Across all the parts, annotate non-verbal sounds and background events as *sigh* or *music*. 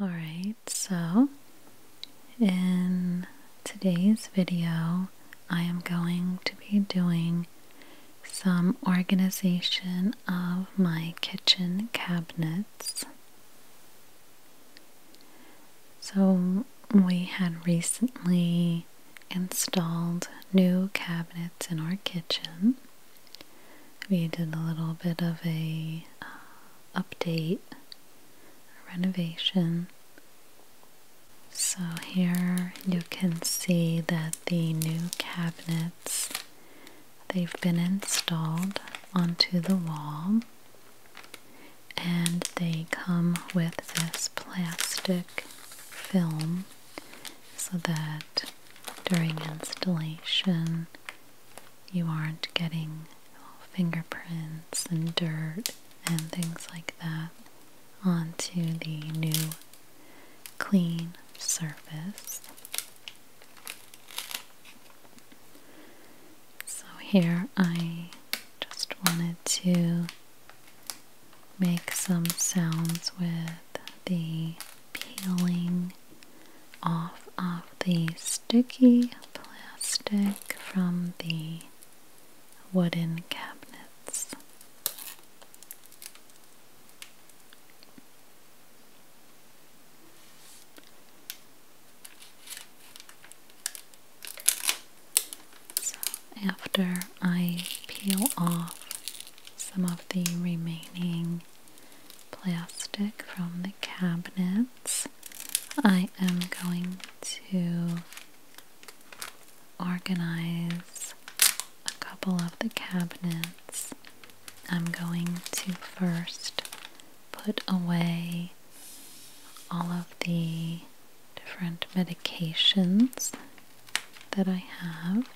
Alright, so in today's video, I am going to be doing some organization of my kitchen cabinets. So, we had recently installed new cabinets in our kitchen. We did a little bit of a uh, update, renovation. So here you can see that the new cabinets they've been installed onto the wall and they come with this plastic film so that during installation you aren't getting fingerprints and dirt and things like that onto the new clean surface. So here I just wanted to make some sounds with the peeling off of the sticky plastic from the wooden cabinets. after I peel off some of the remaining plastic from the cabinets. I am going to organize a couple of the cabinets. I'm going to first put away all of the different medications that I have.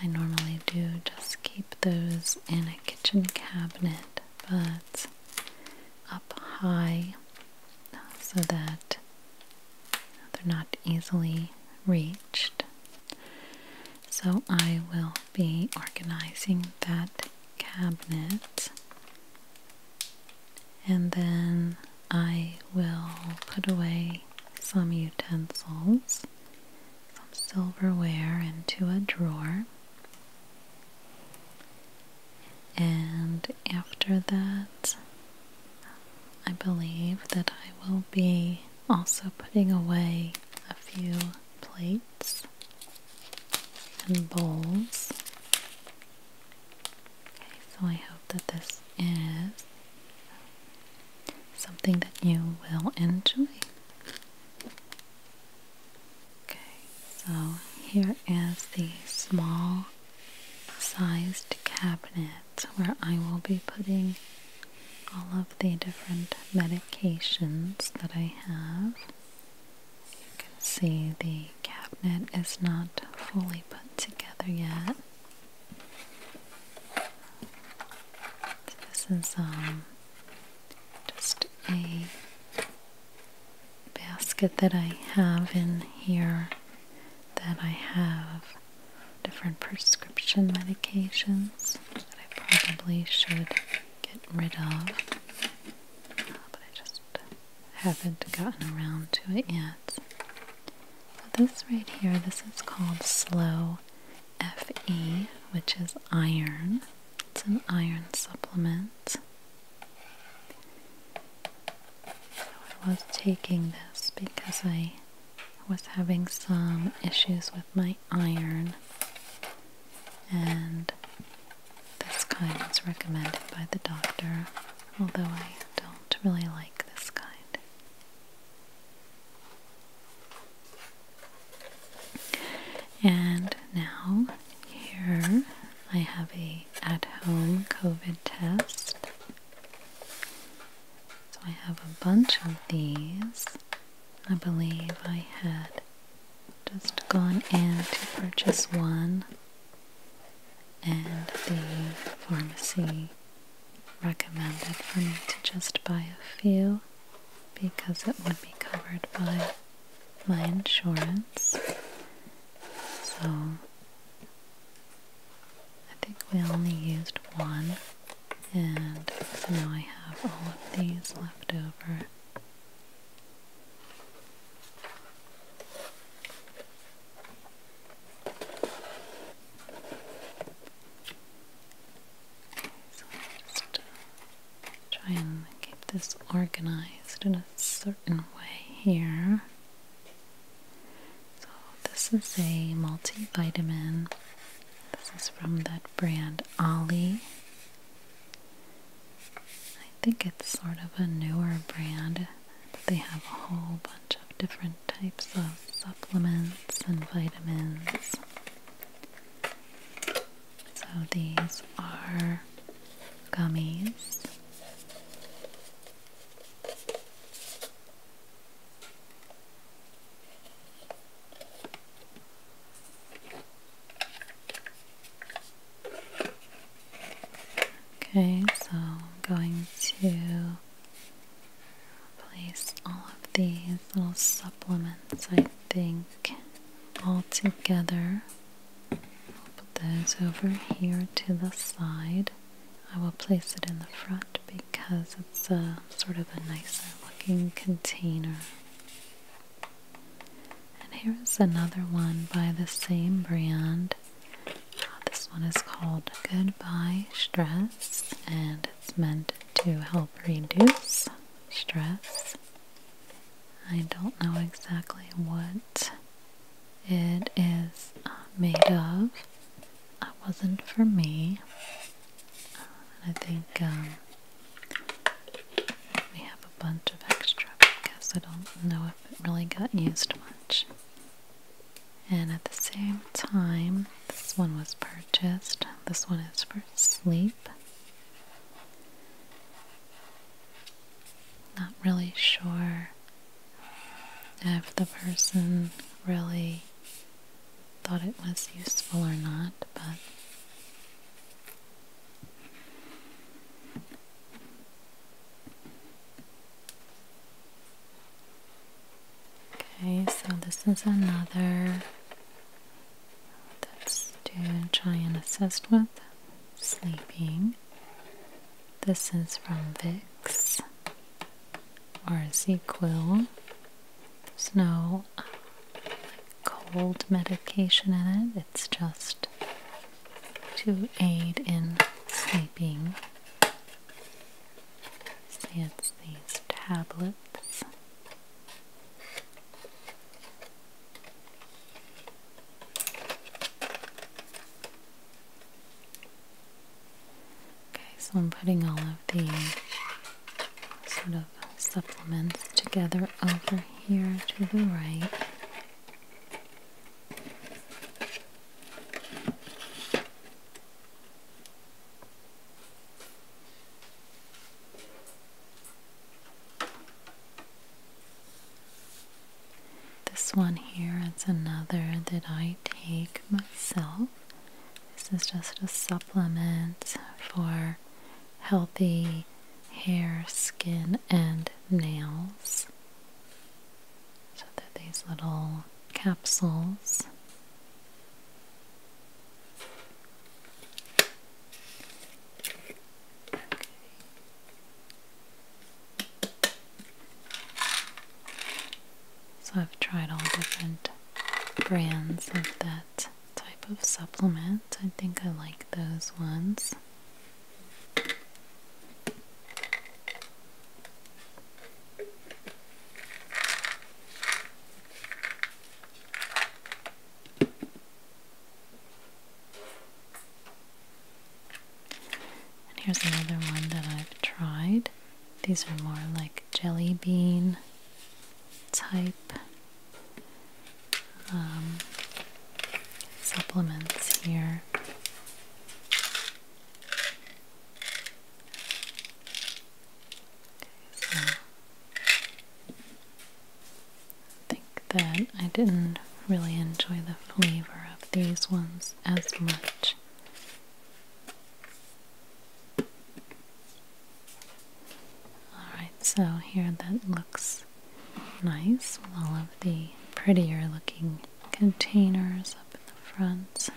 I normally do just keep those in a kitchen cabinet, but up high so that they're not easily reached. So I will be organizing that cabinet and then I will put away some utensils some silverware into a drawer. And after that, I believe that I will be also putting away a few plates and bowls. so I hope that this is something that you will enjoy. Okay, so here is the small sized cabinet where I will be putting all of the different medications that I have. You can see the cabinet is not fully put together yet. this is um just a basket that I have in here that I have different prescription medications that I probably should get rid of, uh, but I just haven't gotten around to it yet. this right here, this is called Slow Fe, which is iron. It's an iron supplement. I was taking this because I was having some issues with my iron, and this kind was recommended by the doctor, although I don't really like this kind. And now here I have a at-home COVID test. So I have a bunch of these. I believe I had just gone in to purchase one and the pharmacy recommended for me to just buy a few because it would be covered by my insurance. So I think we only used one, and so now I have all of these left over. So I'll just uh, try and keep this organized in a certain way here. So this is a multivitamin. This is from that brand Ollie. I think it's sort of a newer brand. they have a whole bunch of different types of supplements and vitamins. So these are gummies. Okay, so I'm going to place all of these little supplements, I think, all together. I'll put those over here to the side. I will place it in the front because it's a sort of a nicer looking container. And here is another one by the same brand. Uh, this one is called Goodbye Stress and it's meant to help reduce stress. I don't know exactly what it is uh, made of. It wasn't for me. I think um, we have a bunch of extra I guess I don't know if it really got used much. And at the same time, this one was purchased. This one is for sleep. Not really sure if the person really thought it was useful or not, but Okay, so this is another that's to try and assist with sleeping. This is from Vicks or Z-Quil. There's no uh, cold medication in it. It's just to aid in sleeping. it's these tablets. Okay, so I'm putting all of the sort of supplements together over here to the right. This one here is another that I take myself. This is just a supplement for healthy hair, skin, and nails. So they're these little capsules. So I've tried all different brands of that type of supplement. I think I like those ones. And here's another one that I've tried. These are more like jelly bean type um, supplements here. I think that I didn't really enjoy the flavor of these ones as much. Alright, so here that looks nice with all of the prettier looking containers up in the front.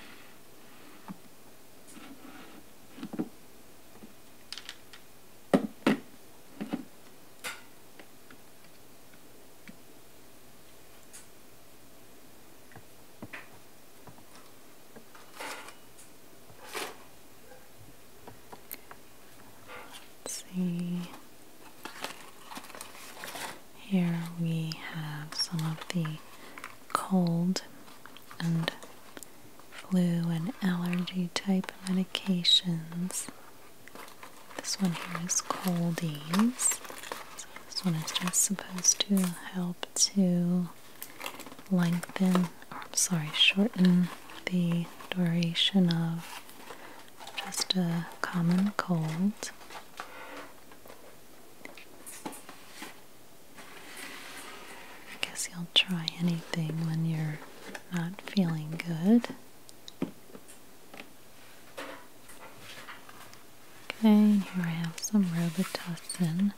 Let's see. Here we have some of the cold and flu and allergy type medications. This one here is ease. So this one is just supposed to help to lengthen, or I'm sorry, shorten the duration of just a common cold. I guess you'll try anything when you're not feeling good. Okay, here I have some Robitussin.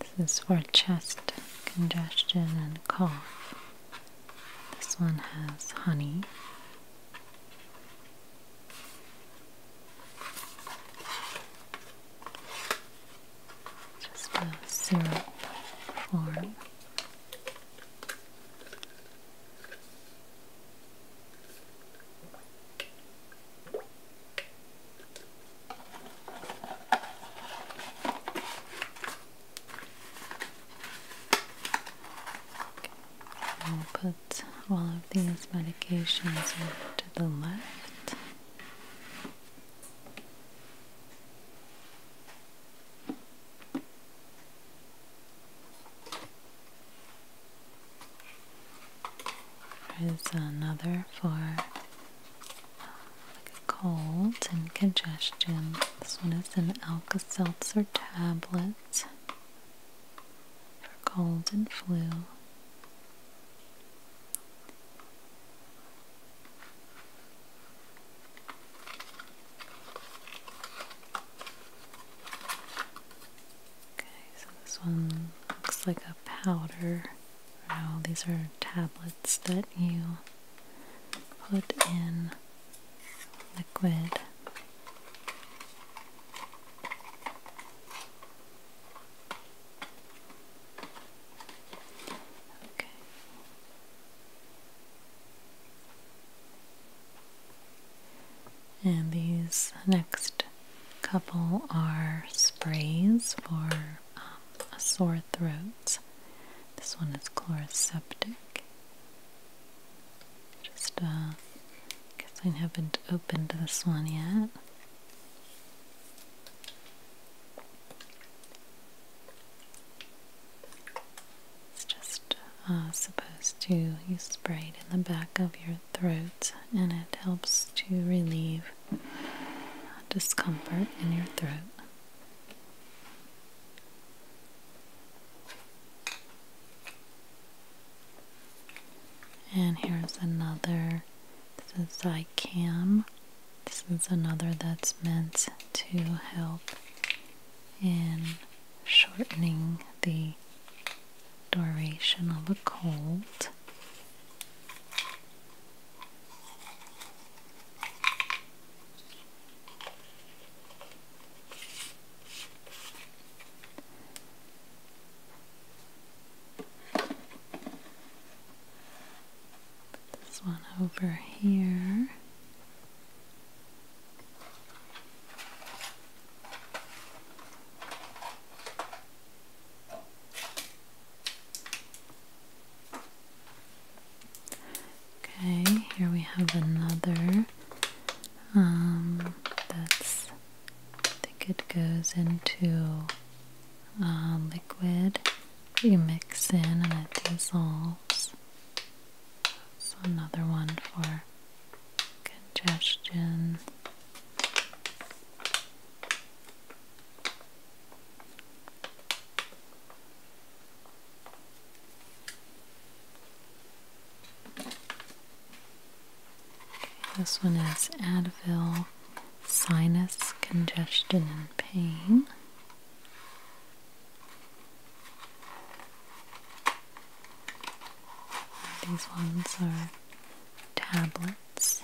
This is for chest congestion and cough. This one has honey just a syrup form. I'll put all of these medications to the left. Here's another for uh, like a cold and congestion. This one is an Alka Seltzer tablet for cold and flu so this one looks like a powder. Now these are tablets that you put in liquid. Okay. And these next couple are sprays for um, sore throats. This one is chloroseptic. Just, uh, guess I haven't opened this one yet. It's just uh, supposed to, you spray it in the back of your throat and it helps to relieve discomfort in your throat. And here's another, this is Zycam this is another that's meant to help in shortening the duration of a cold this one over here. Okay, here we have another um that's I think it goes into uh, liquid you mix in and it dissolves. So another one for congestion. This one is Advil Sinus Congestion and Pain. These ones are tablets.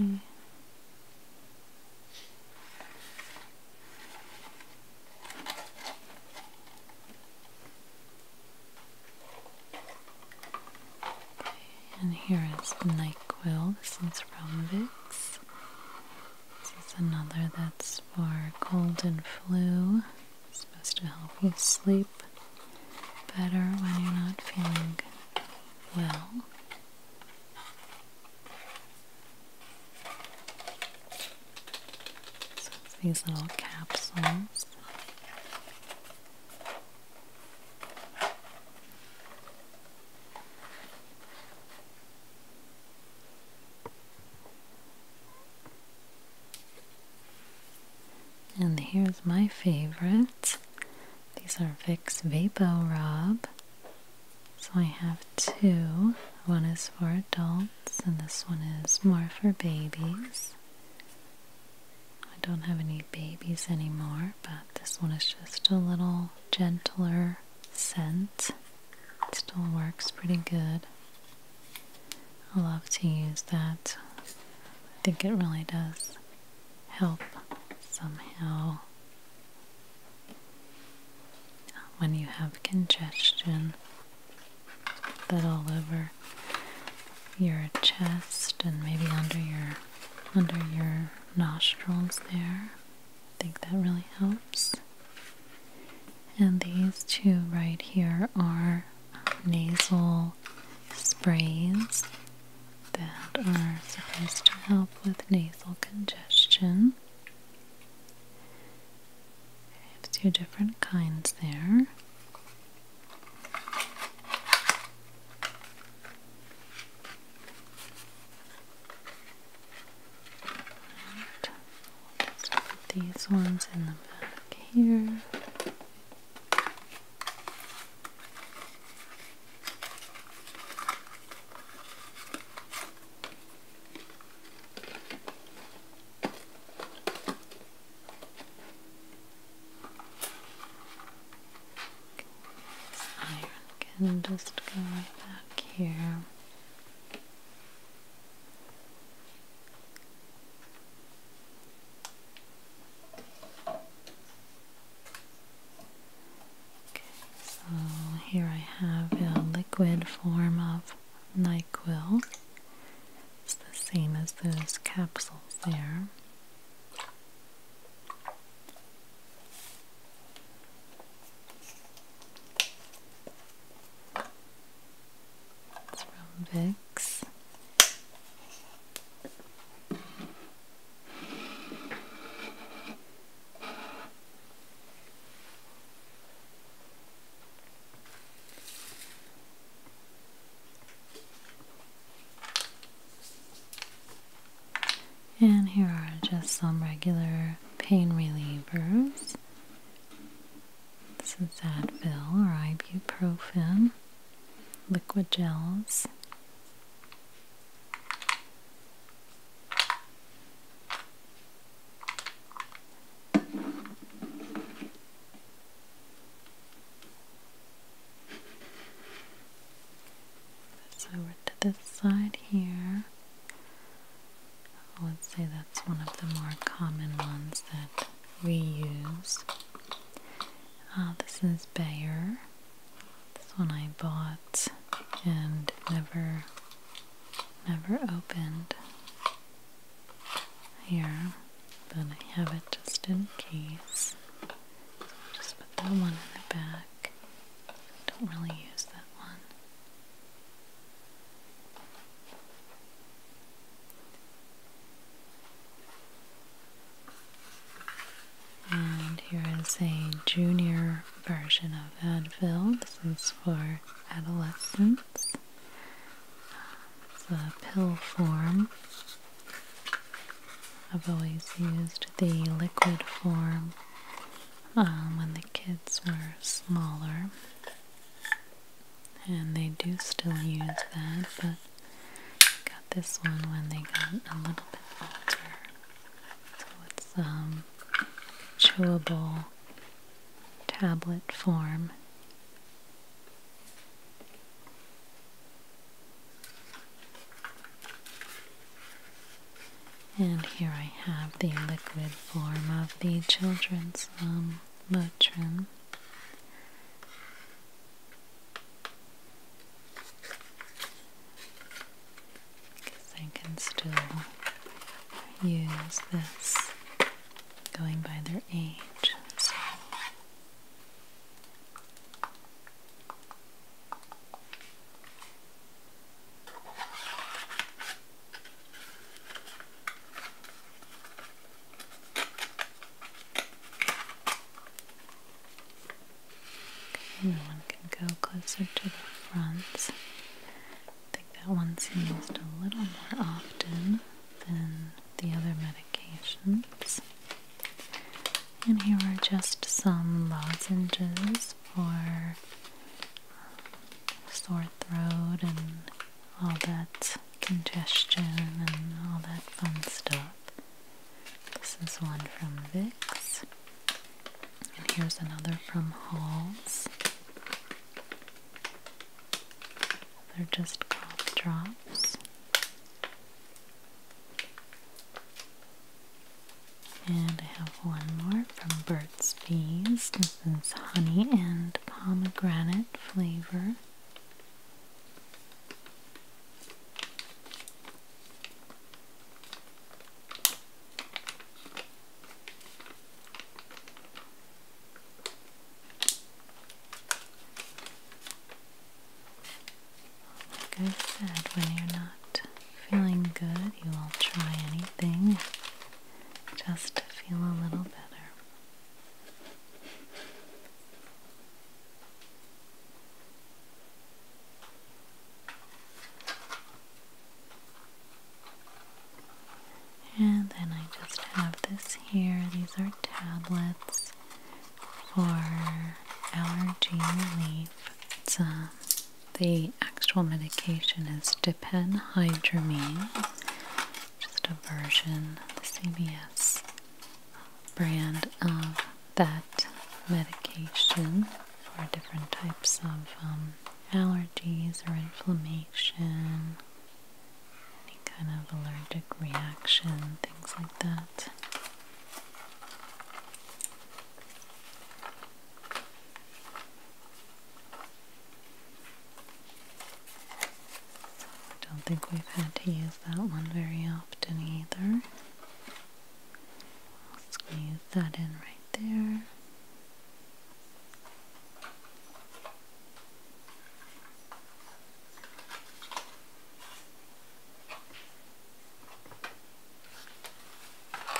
Mm. And here is NyQuil. This one's from Vicks. This is another that's for cold and flu. It's supposed to help you sleep better when you're not feeling good. Well, so it's these little capsules. And here's my favorite these are Vicks Vapo Rob. So I have two. One is for adults and this one is more for babies. I don't have any babies anymore, but this one is just a little gentler scent. It still works pretty good. I love to use that. I think it really does help somehow. When you have congestion, that all over your chest and maybe under your under your nostrils there. I think that really helps. And these two right here are nasal sprays that are supposed to help with nasal congestion. I have two different kinds there. Right. we put these ones in the back here. I can just go right back here so here I have a liquid form of NyQuil. It's the same as those capsules there. It's from Vicks. And here are just some regular pain relievers. This is Advil or ibuprofen liquid gels. So over to this side here. I would say that's one of the more common ones that we use. Uh, this is Bayer. This one I bought and never never opened here, but I have it just in case. just put that one in the back. don't really use that one. And here is a junior version of Advil. This is for adolescents. It's a pill form. I've always used the liquid form um, when the kids were smaller. And they do still use that, but this one when they got a little bit older. So it's um chewable tablet form. And here I have the liquid form of the children's Motrin. Um, I can still use this going by their age. Okay, now one can go closer to the front. I think that one's used a little more often than the other medications. And here are just some lozenges for um, sore throat and all that congestion and all that fun stuff. This is one from Vicks. And here's another from Halls. They're just called drops. And I have one more from Burt's Bees. This is honey and pomegranate flavor. Like I said, when you're not feeling good, you will try anything just to feel a little better. And then I just have this here. These are tablets for allergy relief. Uh, the actual medication is Depenhydramine, just a version, the CVS brand of that medication for different types of um, allergies or inflammation, any kind of allergic reaction, things like that. I don't think we've had to use that one very often either. I'll squeeze that in right there.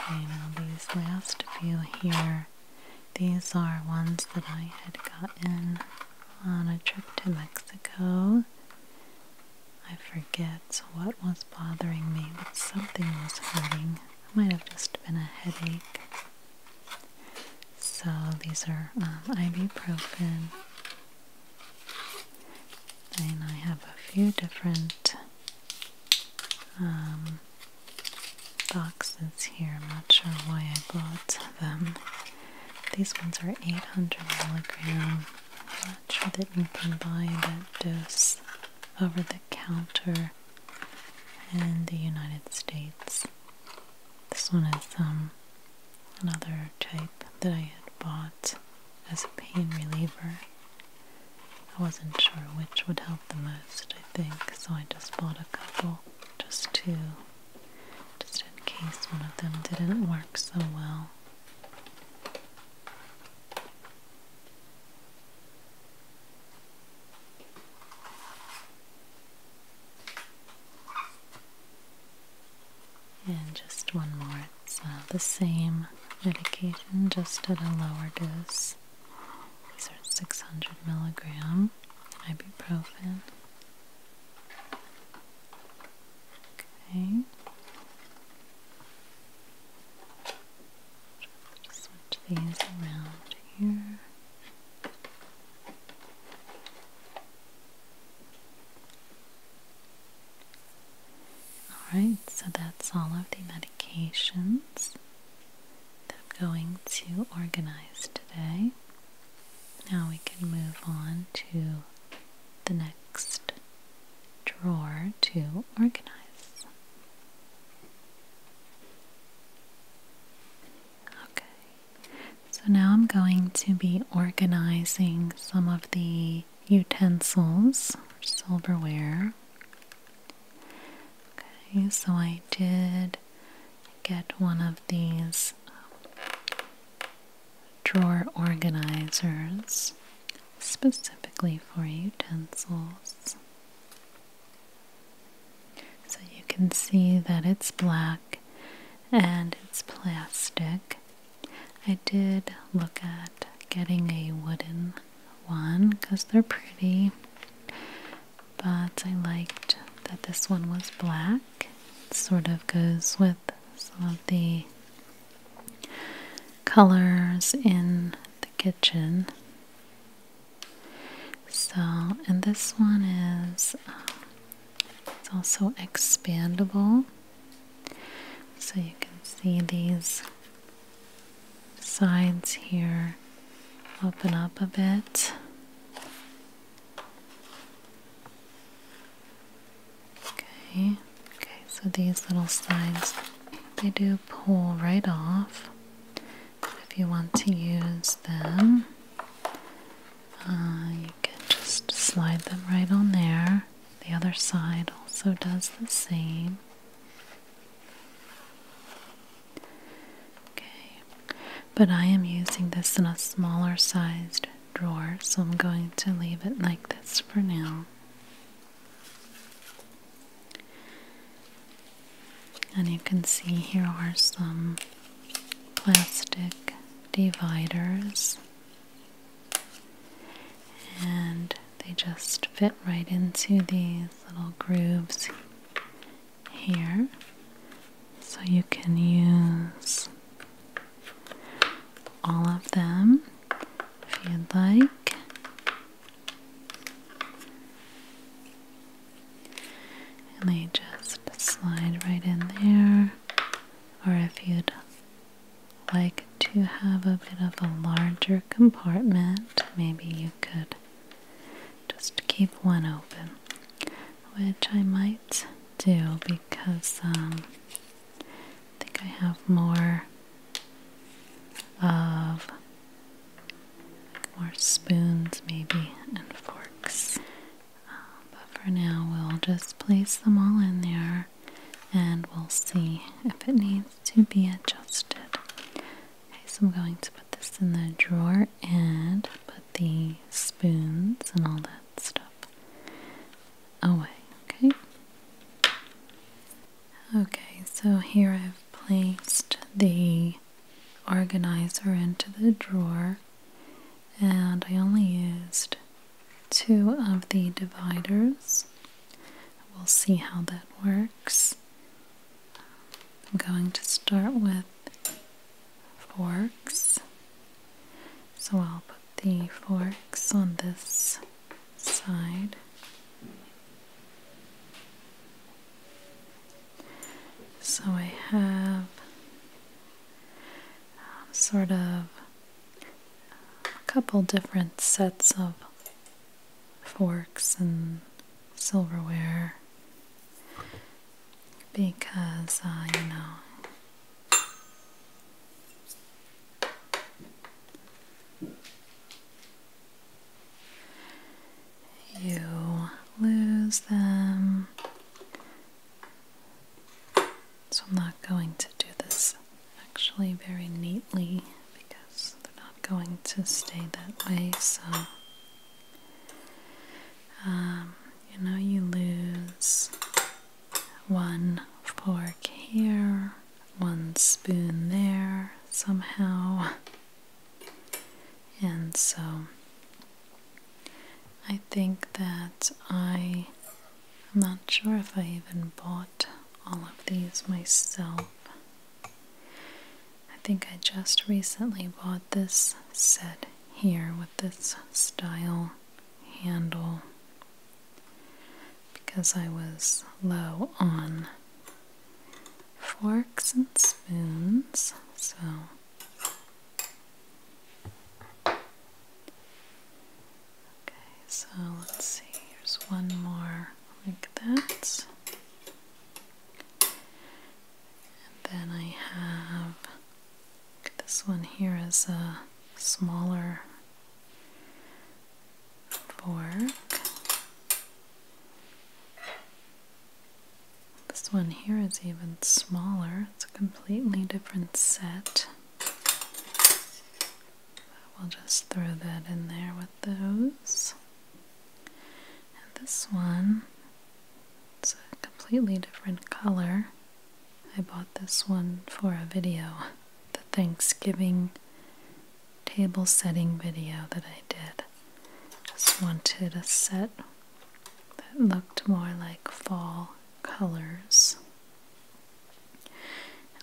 Okay, these last few here, these are ones that I had gotten on a trip to Mexico I forget what was bothering me, but something was hurting. It might have just been a headache. So these are um, ibuprofen. And I have a few different um, boxes here. I'm not sure why I bought them. These ones are 800 milligram that you can buy at by dose over the counter in the United States. This one is um, another type that I had bought as a pain reliever. I wasn't sure which would help the most, I think, so I just bought a couple, just two, just in case one of them didn't work so well. And just one more. It's uh, the same medication, just at a lower dose. These are 600 milligram ibuprofen. Okay. switch these around here. Alright, so that's all of the medications that I'm going to organize today. Now we can move on to the next drawer to organize. Okay, so now I'm going to be organizing some of the utensils or silverware. Okay, so I did get one of these drawer organizers specifically for utensils. So you can see that it's black and it's plastic. I did look at getting a wooden one because they're pretty, but I liked that this one was black. It sort of goes with some of the colors in the kitchen. So, and this one is uh, it's also expandable. So you can see these sides here open up a bit. Okay, okay, so these little sides, they do pull right off if you want to use them. Uh, you can just slide them right on there. The other side also does the same. Okay, but I am using this in a smaller sized drawer, so I'm going to leave it like this for now. And you can see here are some plastic dividers, and they just fit right into these little grooves here. So you can use all of them if you'd like. And they just slide right in there. Or if you'd like to have a bit of a larger compartment, maybe you could just keep one open, which I might do because um, I think I have more of more spoons maybe and forks. Uh, but for now we'll just place them all in there and we'll see if it needs to be adjusted. Okay, so I'm going to put this in the drawer and put the spoons and all that stuff away, okay? Okay, so here I've placed the organizer into the drawer and I only used two of the dividers. We'll see how that works. I'm going to start with forks. So I'll put the forks on this side. So I have um, sort of a couple different sets of forks and silverware because, I uh, know, you lose them. So I'm not going to do this actually very neatly because they're not going to stay that way. So, um, you know, you lose one fork here, one spoon there somehow. And so I think that I, I'm not sure if I even bought all of these myself. I think I just recently bought this set here with this style handle because I was low on forks and spoons, so okay, so let's see, here's one more like that. And then I have this one here is a smaller fork. This one here is even smaller. It's a completely different set. we'll just throw that in there with those. And this one, it's a completely different color. I bought this one for a video, the Thanksgiving table setting video that I did. Just wanted a set that looked more like fall colors. And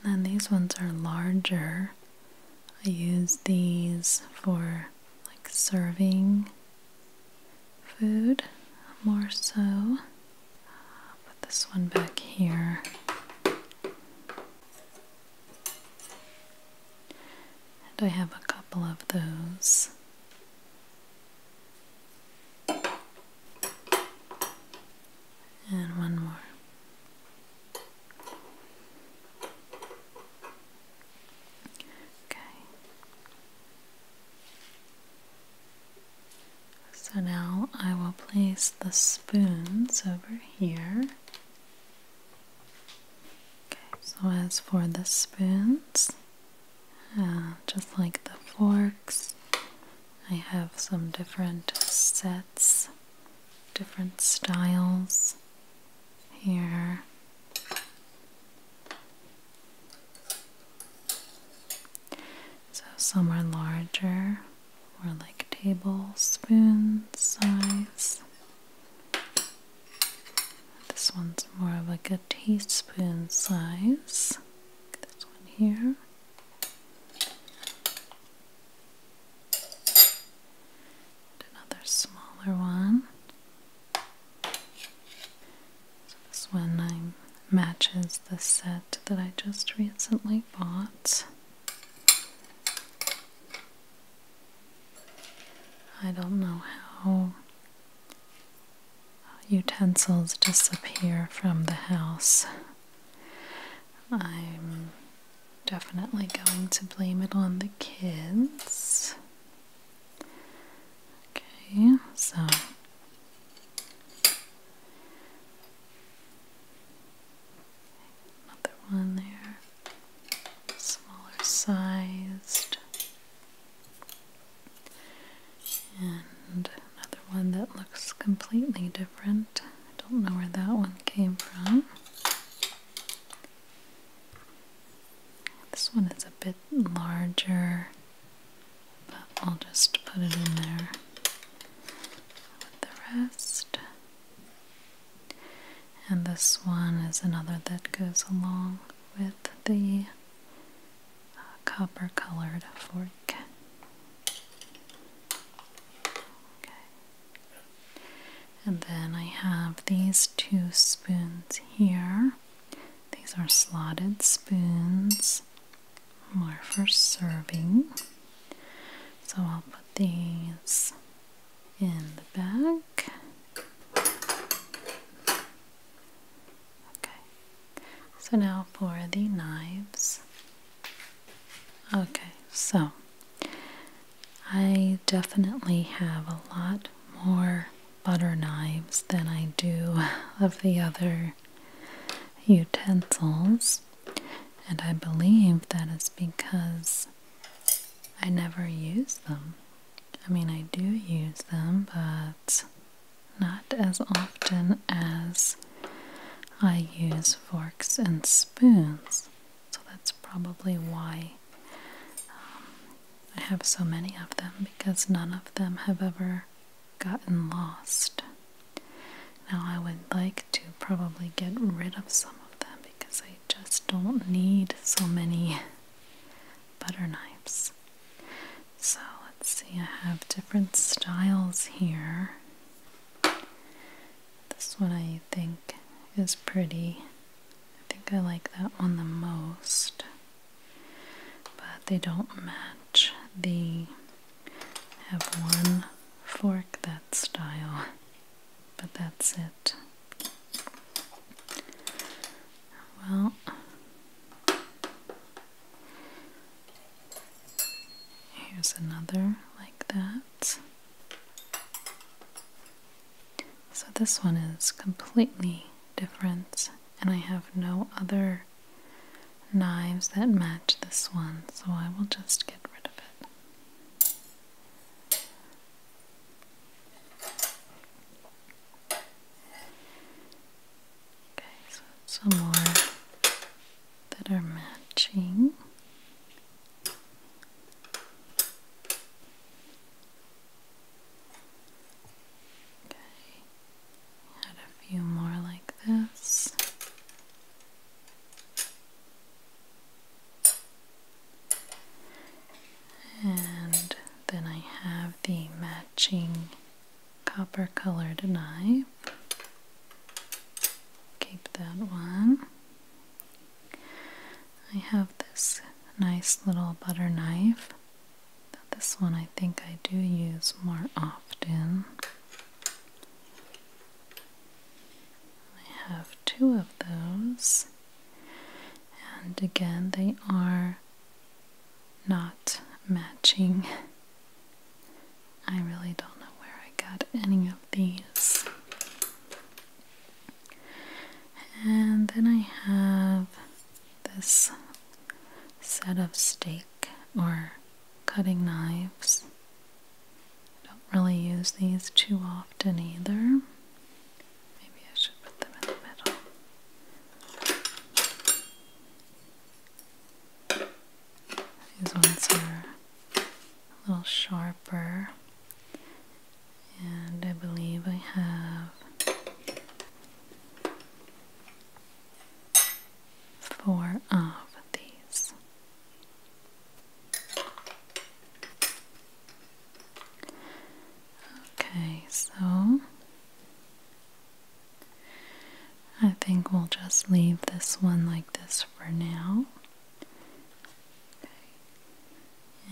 then these ones are larger. I use these for like serving food more so. Put this one back here. And I have a couple of those. And one more. Okay. So now I will place the spoons over here. Okay, so as for the spoons, uh, just like the forks, I have some different sets, different styles here. So some are larger, more like tablespoon size. This one's more of like a teaspoon size. This one here. another smaller one. this one I'm matches the set that I just recently bought. I don't know how utensils disappear from the house. I'm definitely going to blame it on the kids. Okay, so Another one there, smaller sized, and another one that looks completely different. I don't know where that one came from. This one is a bit larger, but I'll just put it in there with the rest. And this one is another that goes along with the uh, copper colored fork. Okay. And then I have these two spoons here. These are slotted spoons more for serving. So I'll put these in the back. Okay, so now for the knives. Okay, so I definitely have a lot more butter knives than I do of the other utensils. And I believe that is because I never use them. I mean, I do use them, but not as often as I use forks and spoons. So that's probably why um, I have so many of them because none of them have ever gotten lost. Now, I would like to probably get rid of some of them because I just don't need so many butter knives. So, let's see, I have different styles here. This one I think is pretty. I think I like that one the most. But they don't match the have one fork that style, but that's it. Well, here's another like that. So this one is completely different, and I have no other knives that match this one, so I will just get rid of it. Okay, so some more that are matching. Okay, a few more like this. And then I have the matching copper colored knife. Keep that one. I have this nice little butter knife. This one I think I do use more often. I have two of those, and again, they are not matching. I really don't know where I got any of these. And then I have this set of steak or cutting knives. I don't really use these too often either. Maybe I should put them in the middle. These ones are a little sharper, and I believe I have four of these. Okay, so I think we'll just leave this one like this for now.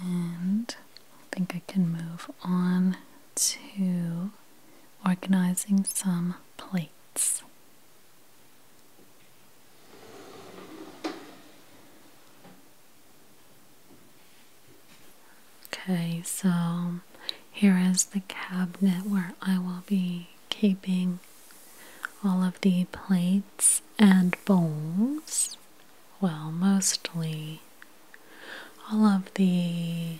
And I think I can move on to organizing some plates. Okay, so here is the cabinet where I will be keeping all of the plates and bowls. Well, mostly all of the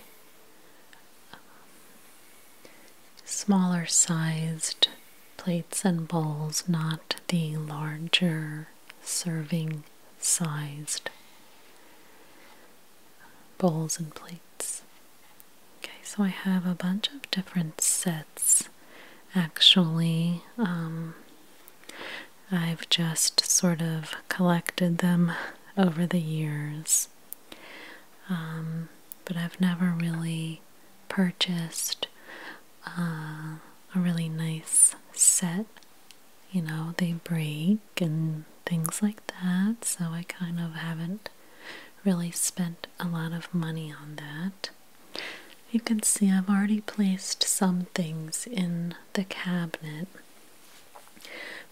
smaller sized plates and bowls, not the larger serving sized bowls and plates. Okay, so I have a bunch of different sets actually. Um, I've just sort of collected them over the years. Um, but I've never really purchased uh, a really nice set. You know, they break and things like that, so I kind of haven't really spent a lot of money on that. You can see I've already placed some things in the cabinet,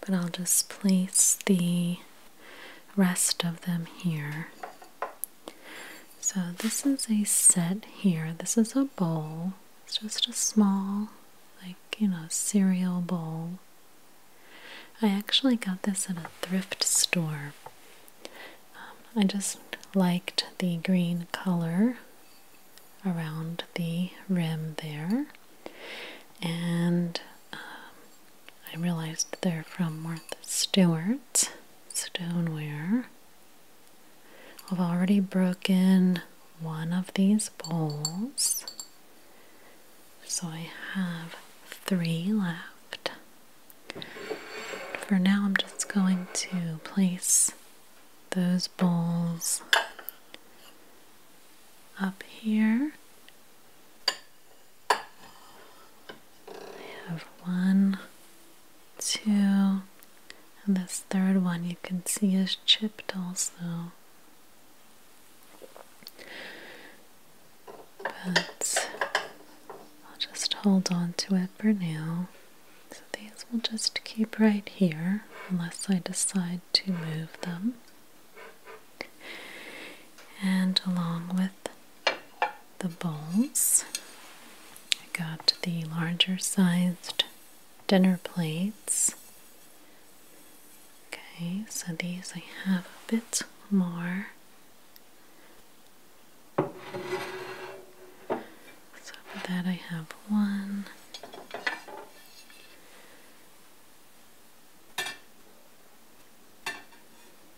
but I'll just place the rest of them here. So, this is a set here. This is a bowl. It's just a small, like, you know, cereal bowl. I actually got this at a thrift store. Um, I just liked the green color around the rim there. And um, I realized they're from Martha Stewart Stoneware. I've already broken one of these bowls, so I have three left. For now, I'm just going to place those bowls up here I have one, two, and this third one you can see is chipped also. But I'll just hold on to it for now. So these will just keep right here unless I decide to move them. And along with the bowls. I got the larger sized dinner plates. Okay, so these I have a bit more. So for that, I have one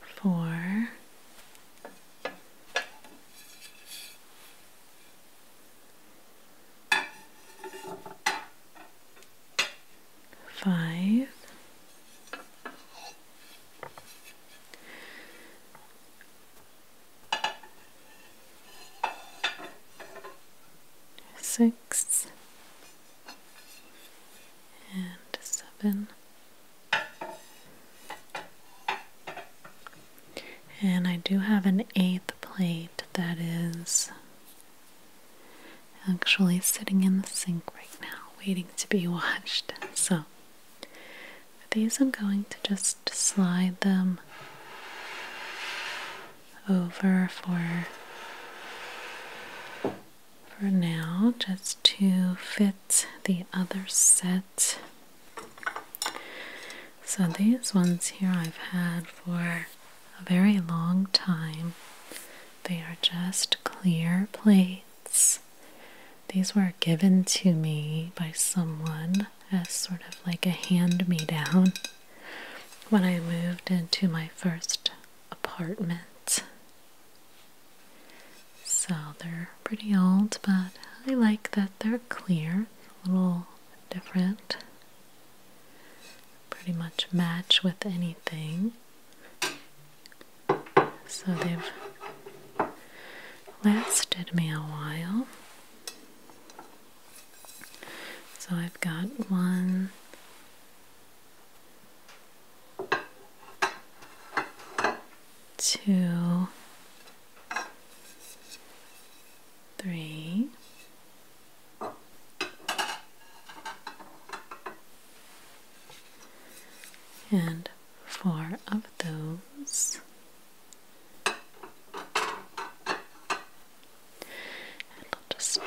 four, five, six six and seven. And I do have an eighth plate that is actually sitting in the sink right now, waiting to be *laughs* washed. So, these, I'm going to just slide them over for for now just to fit the other set. So these ones here I've had for a very long time. They are just clear plates. These were given to me by someone as sort of like a hand me down when I moved into my first apartment. So they're pretty old, but I like that they're clear, a little different. Pretty much match with anything. So they've lasted me a while. So I've got one, two, three, and four of those. I'll just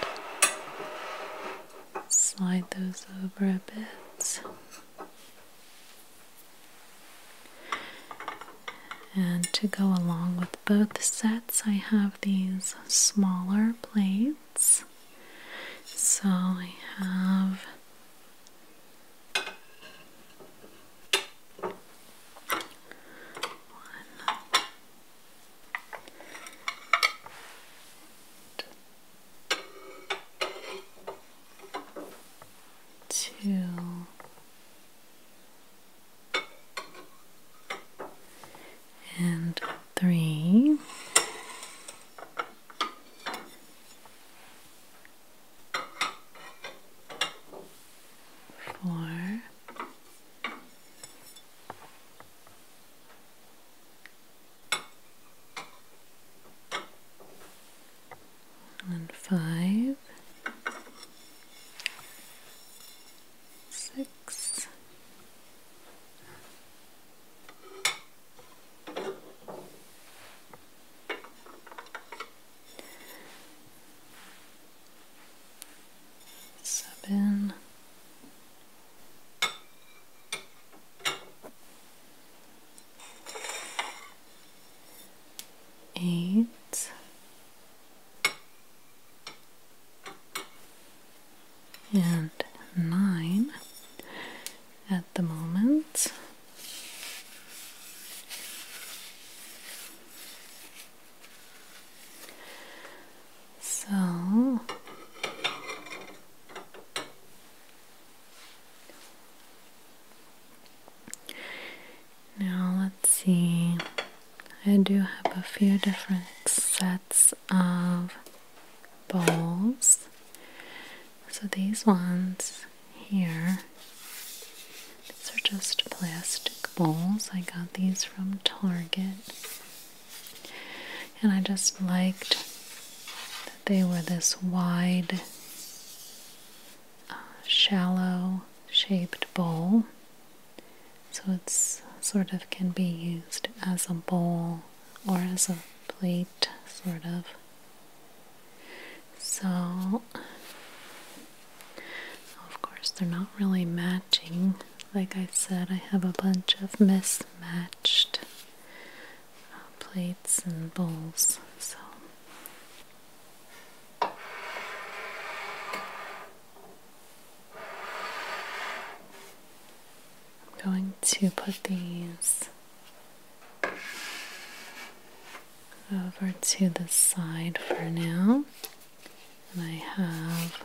slide those over a bit. And to go along with both sets, I have these smaller plates. So I have one, two, and three. Four and five, six, seven, eight, and nine at the moment. So now let's see. I do have a few different sets of bowls. So these ones here, these are just plastic bowls. I got these from Target. And I just liked that they were this wide, uh, shallow shaped bowl. So it's sort of can be used as a bowl or as a plate, sort of. So, of course, they're not really matching like I said, I have a bunch of mismatched uh, plates and bowls. So. I'm going to put these over to the side for now and I have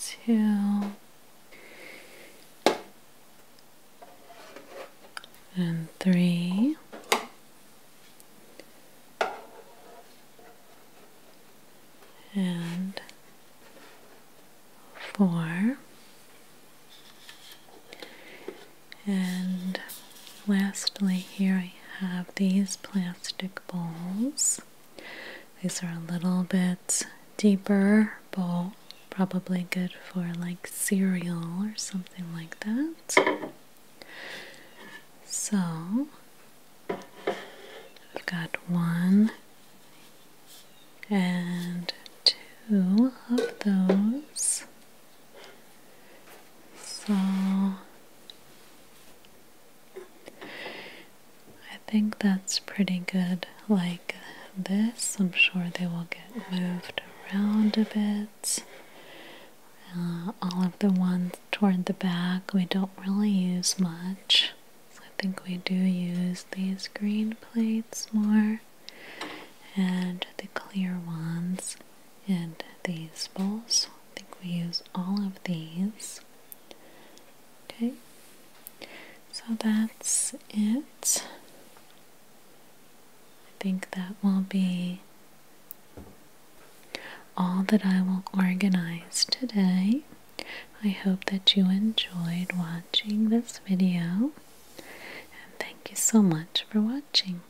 two and three and four and lastly here I have these plastic bowls. These are a little bit deeper bowl, probably good for like cereal or something like that. So we have got one and two of those. So I think that's pretty good like this. I'm sure they will get moved around a bit. Uh, all of the ones toward the back we don't really use much. I think we do use these green plates more and the clear ones and these bowls. I think we use all of these. Okay, so that's it. I think that will be all that I will organize today. I hope that you enjoyed watching this video and thank you so much for watching.